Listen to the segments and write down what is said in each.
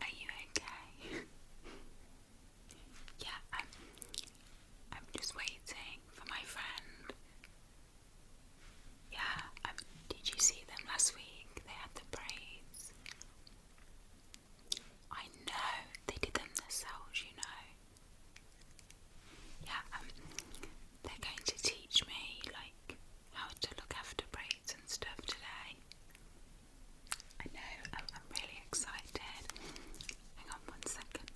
Are you okay? yeah, I'm I'm just waiting for my friend. Yeah, did you see them last week? They had the braids. I know, they did them themselves, you know. Yeah, um, they're going to teach me like how to look after braids and stuff today. I know, I'm, I'm really excited. Hang on one second.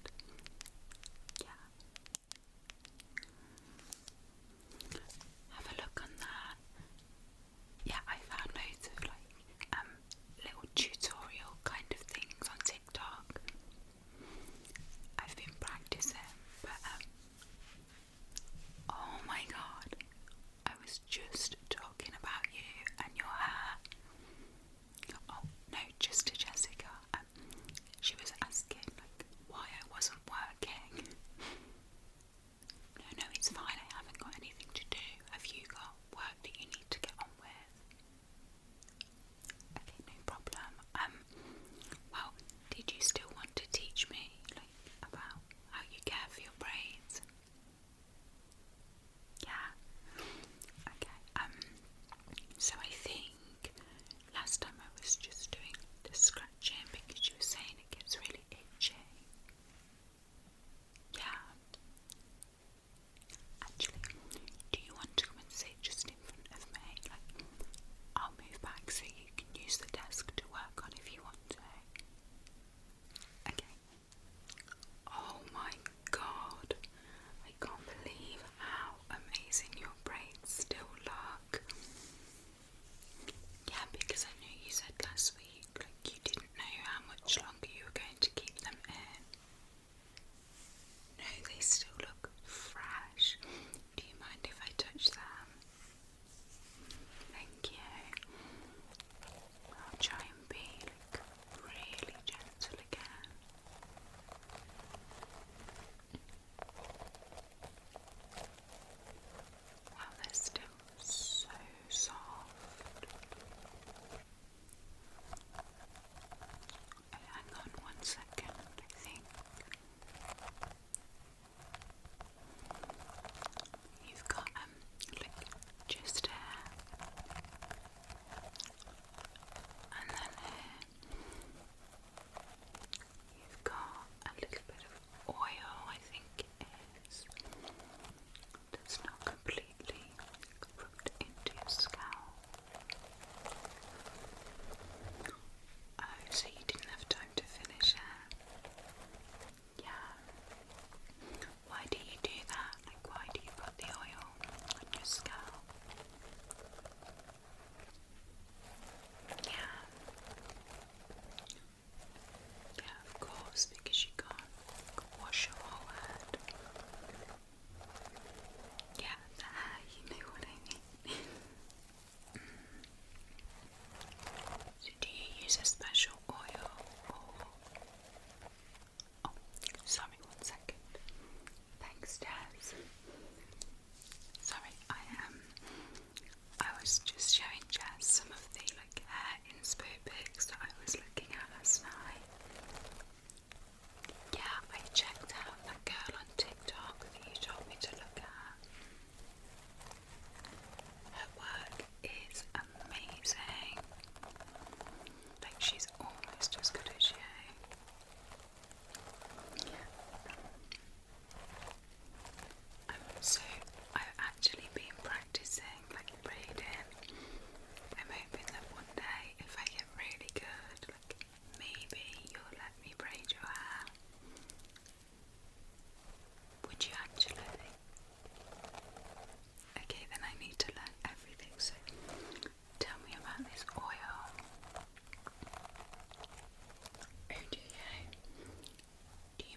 Yeah. Have a look on that. Yeah, I found loads of like um little tutorial kind of things on TikTok. I've been practicing, but um, oh my god, I was just talking about you and your hair. Oh no, just to Jessica. Um, she was asking like why I wasn't working. No, no, it's fine. I haven't got anything to do. Have you got work that you need to get on with? Okay, no problem. Um, well, did you still want to teach me like about how you care for your braids? Yeah. Okay. Um. So I think last time I was just doing the scratching because you were saying it gets really itchy. Yeah. Actually, do you want to come and sit just in front of me? Like, I'll move back so you can use the desk to work on if you want to. Okay. Oh my god, I can't believe how amazing your braids still look. Yeah, because I knew you said last week, like, you didn't know how much longer you were going to keep them in. No, they still look fresh. Do you mind if I touch them? Thank you. I'll try and be really gentle again. Wow, they're still so soft. Hang on one second, I think. You've got um just hair and then you've got a little bit of oil I think it is that's not completely root into your scalp. Oh, so you didn't have time to finish it? Yeah. Why do you do that? Like, why do you put the oil on your scalp? Yeah. Yeah, of course, because you can't wash your whole head. Yeah, you know what I mean. so, do you use a special oil oh, sorry, one second. Thanks, Jess. Sorry, I Um, I was just showing Jess some of the like hair inspo pics that I was looking at last night. Yeah, I checked out that girl on TikTok that you told me to look at. Her work is amazing. Like, she's almost as good as you. so, I've actually been practicing, like, reading. I'm hoping that one day, if I really good. maybe you'll let me braid your hair. Would you actually? Okay, then I need to learn everything. So tell me about this oil. Oh Do you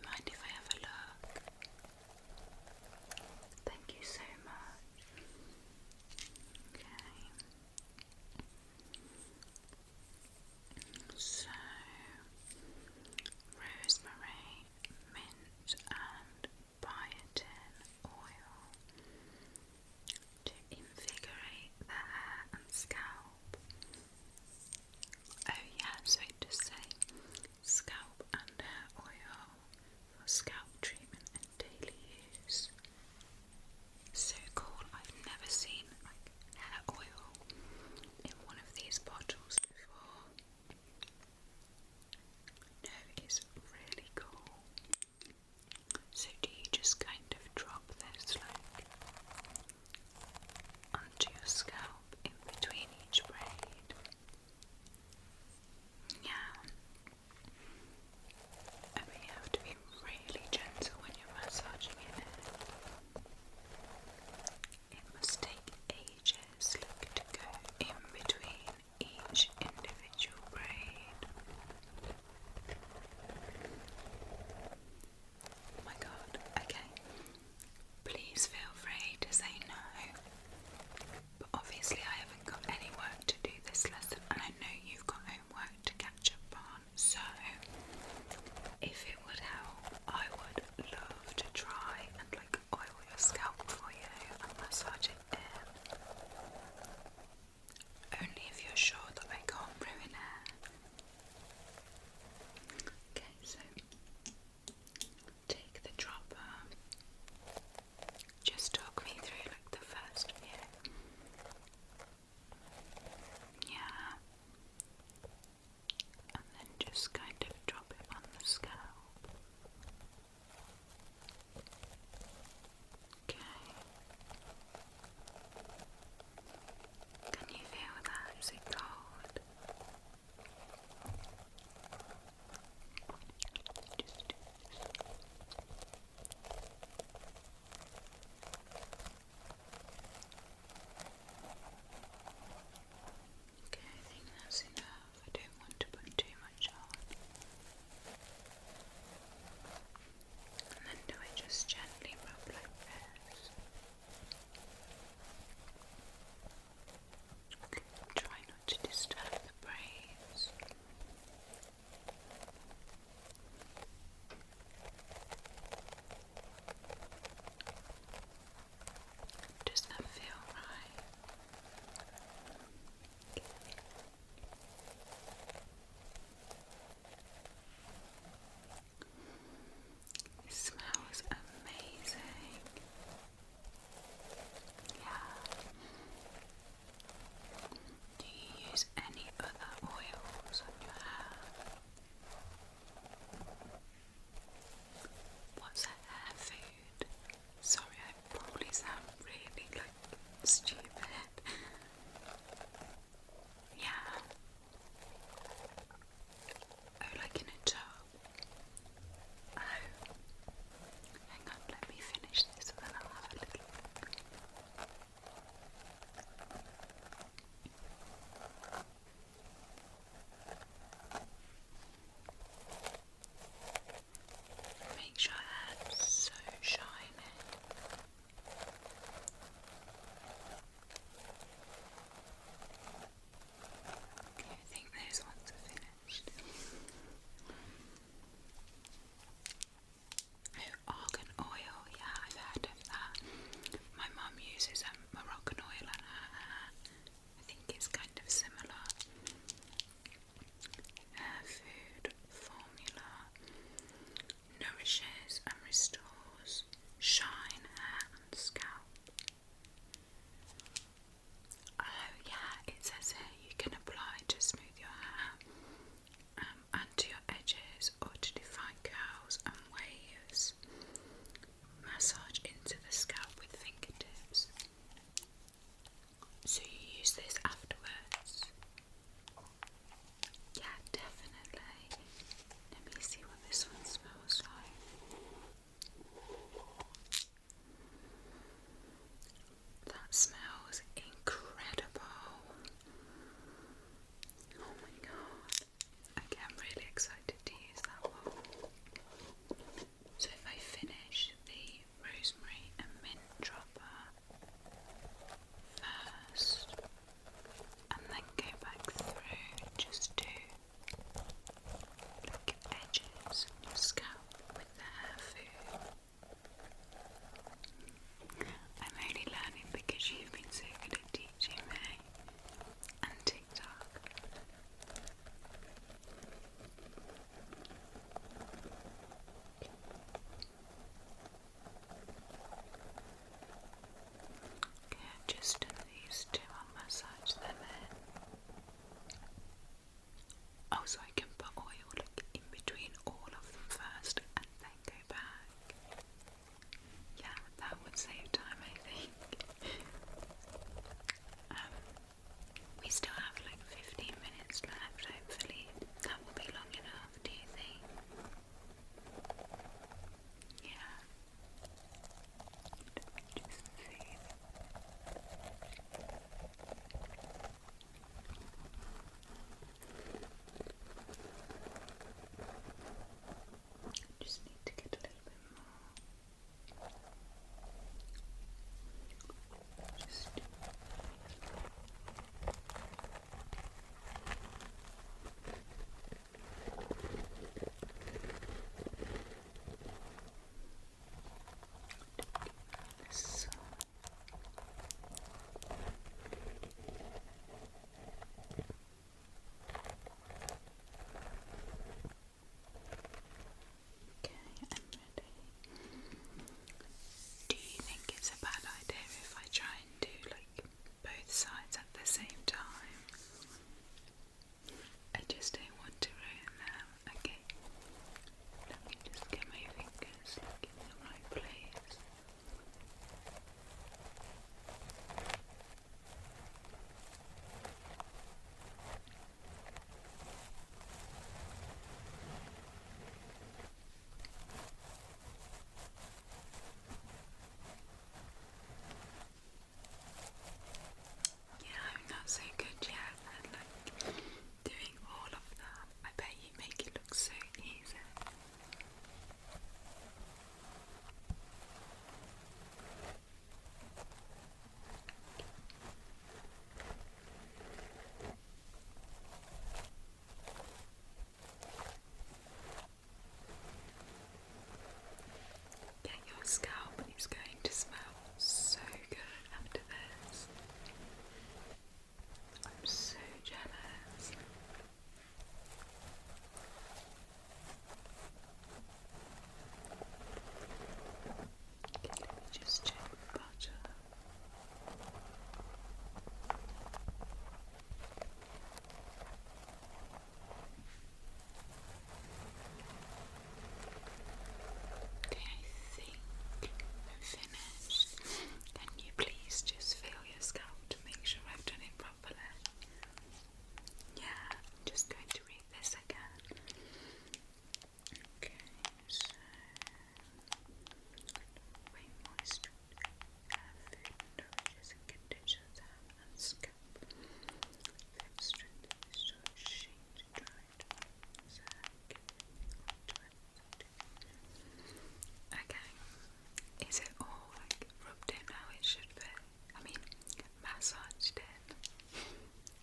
mind if I have a look? Thank you so much. So rosemary, mint and biotin oil to invigorate the hair and scalp. Oh yeah, so it say scalp and hair oil for scalp treatment and daily use. So cool, I've never seen like hair oil in one of these bottles before. No, it's really cool. So, do you just kind of drop this like onto your scalp in between each braid? Yeah. I mean, have to be really gentle when you're massaging It must take ages, look, to go in between each individual braid. Oh my god, okay. Please feel free to say no but obviously, I haven't got any work to do this lesson, and I know you've got homework to catch up on. So, if it would help, I would love to try and like oil your scalp for you and massage it in. Only if you're sure that I can't ruin it. Okay, so take the dropper. Um, just talk me through like the first view. Yeah. And then just kind of drop it on the scalp. Okay. Can you feel that? Is it cold? Just do Okay, I think that's enough. I don't want to put too much on. And then I just gently rub like this? Try not to disturb the braids. Does that feel right? Okay. It amazing. Yeah. Do you use any other oils on your hair? What's hair food? Sorry, I probably sound really like stupid. yeah. Oh, like in a tub. Oh. Hang on, let me finish this and then I'll have a little Make sure that's so shiny. Okay, I think those ones are finished argan oil, yeah, I've heard of that. My mum uses um, Moroccan oil on her hair. I think it's kind of similar. Her uh, food formula nourishes and restores shine, hair, and scalp. Oh, yeah, it says here you can apply to smooth your hair um, and your edges or to define curls and waves. Massage into the scalp with fingertips. So you use this afterwards? Yeah, definitely. Let me see what this one smells like. That smells incredible. Oh my god. I'm really excited to use that one. So, if I finish the rosemary and mint dropper first, and then go back through just to edges scalp with the hair food. I'm only learning because you've been so good at teaching and TikTok. Okay, just done these two, I'll massage them in. Oh, so I can put oil in between all of them first and then go back. Yeah, that would save time, I think. um, we still have like 15 minutes left, hopefully. That will be long enough, do you think? Yeah. Let me just need to get a little bit more. Just so Okay, I'm ready. Do you think it's a bad idea if I try and do like both sides at the same time? I just don't want to ruin them. Okay. Let me just get my fingers in the right place. Yeah, I'm not so good yet at like doing all of that. I bet you make it look so easy. Yeah, your scalp is going to smell so good after this. I'm so jealous. let me just check the butter. Okay, I think I'm finished. Can you please just feel your scalp to make sure I've done it properly? Yeah, I'm just going to read this again. Okay, so weight moisture, food nourishes and conditions is short, shaped, dried, zag, Okay, is it all like rubbed in how it should be? I mean, massaged in.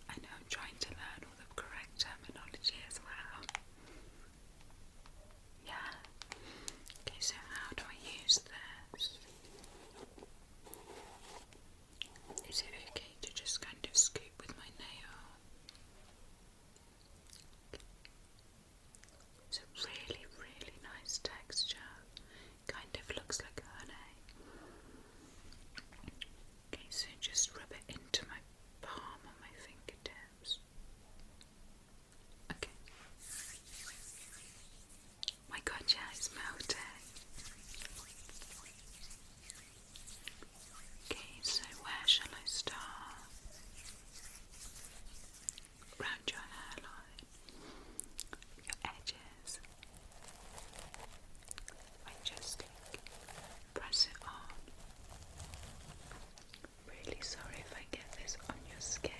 I know I'm trying to learn all the correct terminology as well. Yeah. Okay, so how do I use this? Is it okay to just kind of scoop with my nail? It's a really, really nice texture. Kind of looks like honey. Okay, so just rub it into my palm on my fingertips. Okay my god, yeah, it's melted. Okay, so where shall I start? Round your hairline, your edges. I just press it on. Really sorry if I get this on your skin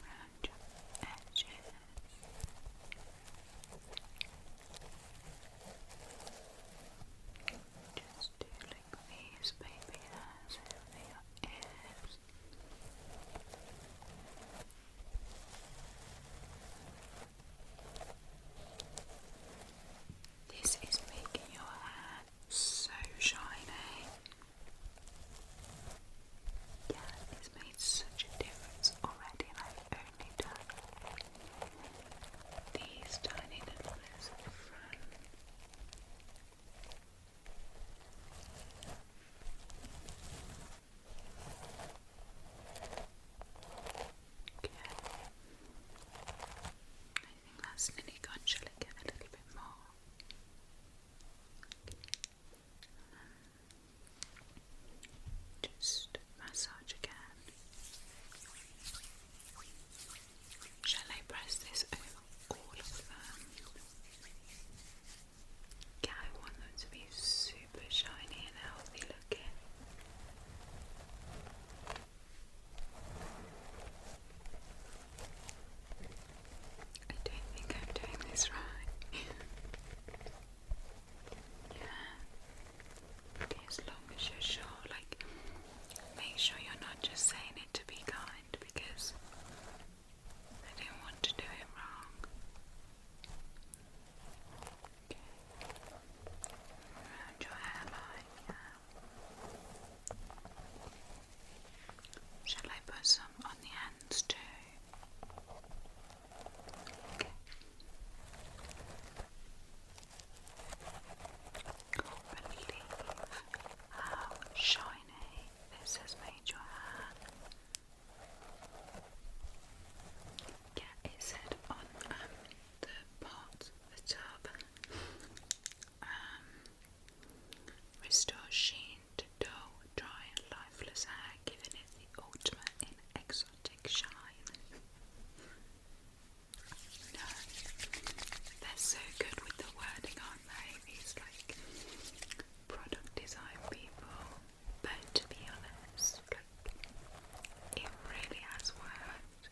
round edges. Just do like these baby hairs over your ears. This is making your hair so shiny. Yeah, it's made such a difference already, and only done these tiny little bits at the I think that's nearly gone. Shall I a little bit more? just massage again. Shall I press this over all of them? Yeah, I want them to be super shiny and healthy looking. I don't think I'm doing this right. yeah. as long as you're sure. Like, make sure you're not just saying it to be kind because I don't want to do it wrong. Around your hairline. Shall I put some on the hands too? Okay. how shiny this has made your hair. Yeah, it on um, the pot, the tub, um, sheen to dull, dry lifeless hair, giving it the ultimate in exotic shine. no, they're so good with the wording, aren't they? These like product design people, but to be honest, it really has worked. Would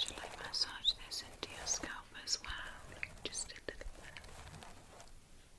you massage this into your scalp as well? just a little bit.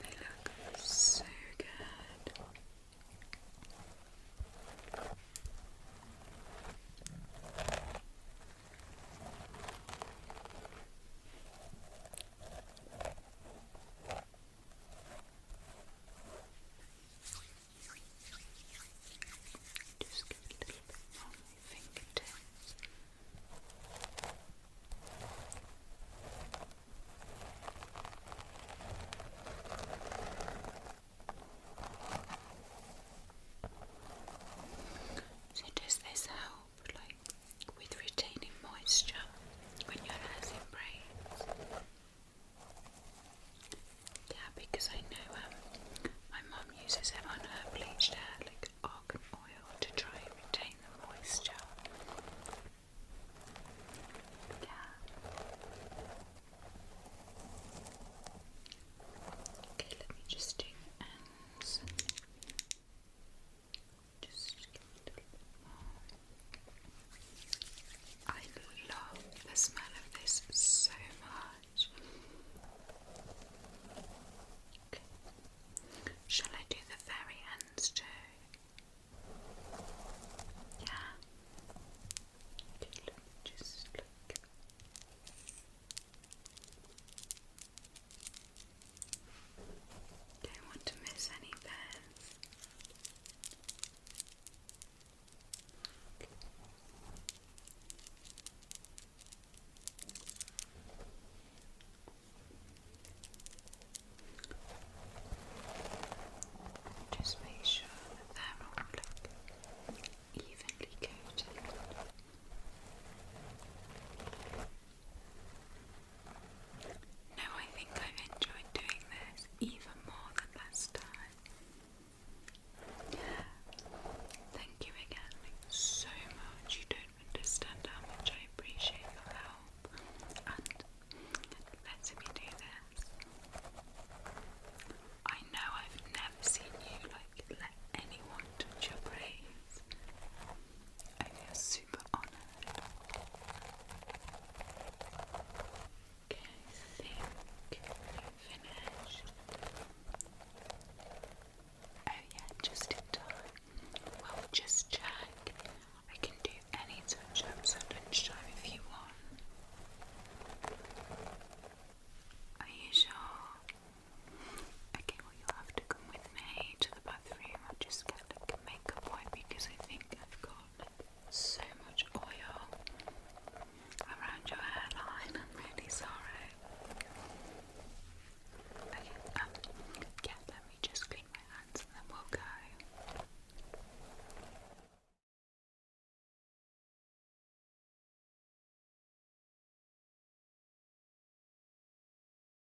They look so good. Just get a little bit on my fingertips. So does this help? Like with retaining moisture when your hair's in braids. Yeah, because I know um, my mum uses it on her bleached hair, like argan oil, to try and retain the moisture. Yeah. Okay, let me just do ends. I love the smell of this so much. Shall I do the fairy ends too? Yeah. Okay, look, just look. Don't want to miss any pairs. Just make sure they're all evenly coated. No, I think I've enjoyed doing this even more than last time. Thank you again so much. You don't understand how much I appreciate your help and letting me do this. I know I've never seen you like let anyone touch your braids. I feel super honored. Okay, think i Oh yeah, just in time. Well, just check. I can do any touch-ups at lunchtime if you want. Are you sure? Okay, well you have to come with me I'm just going to make a wipe because I think I've got so much oil around your hairline. I'm really sorry. Um, yeah, let me just clean my hands and then we'll go.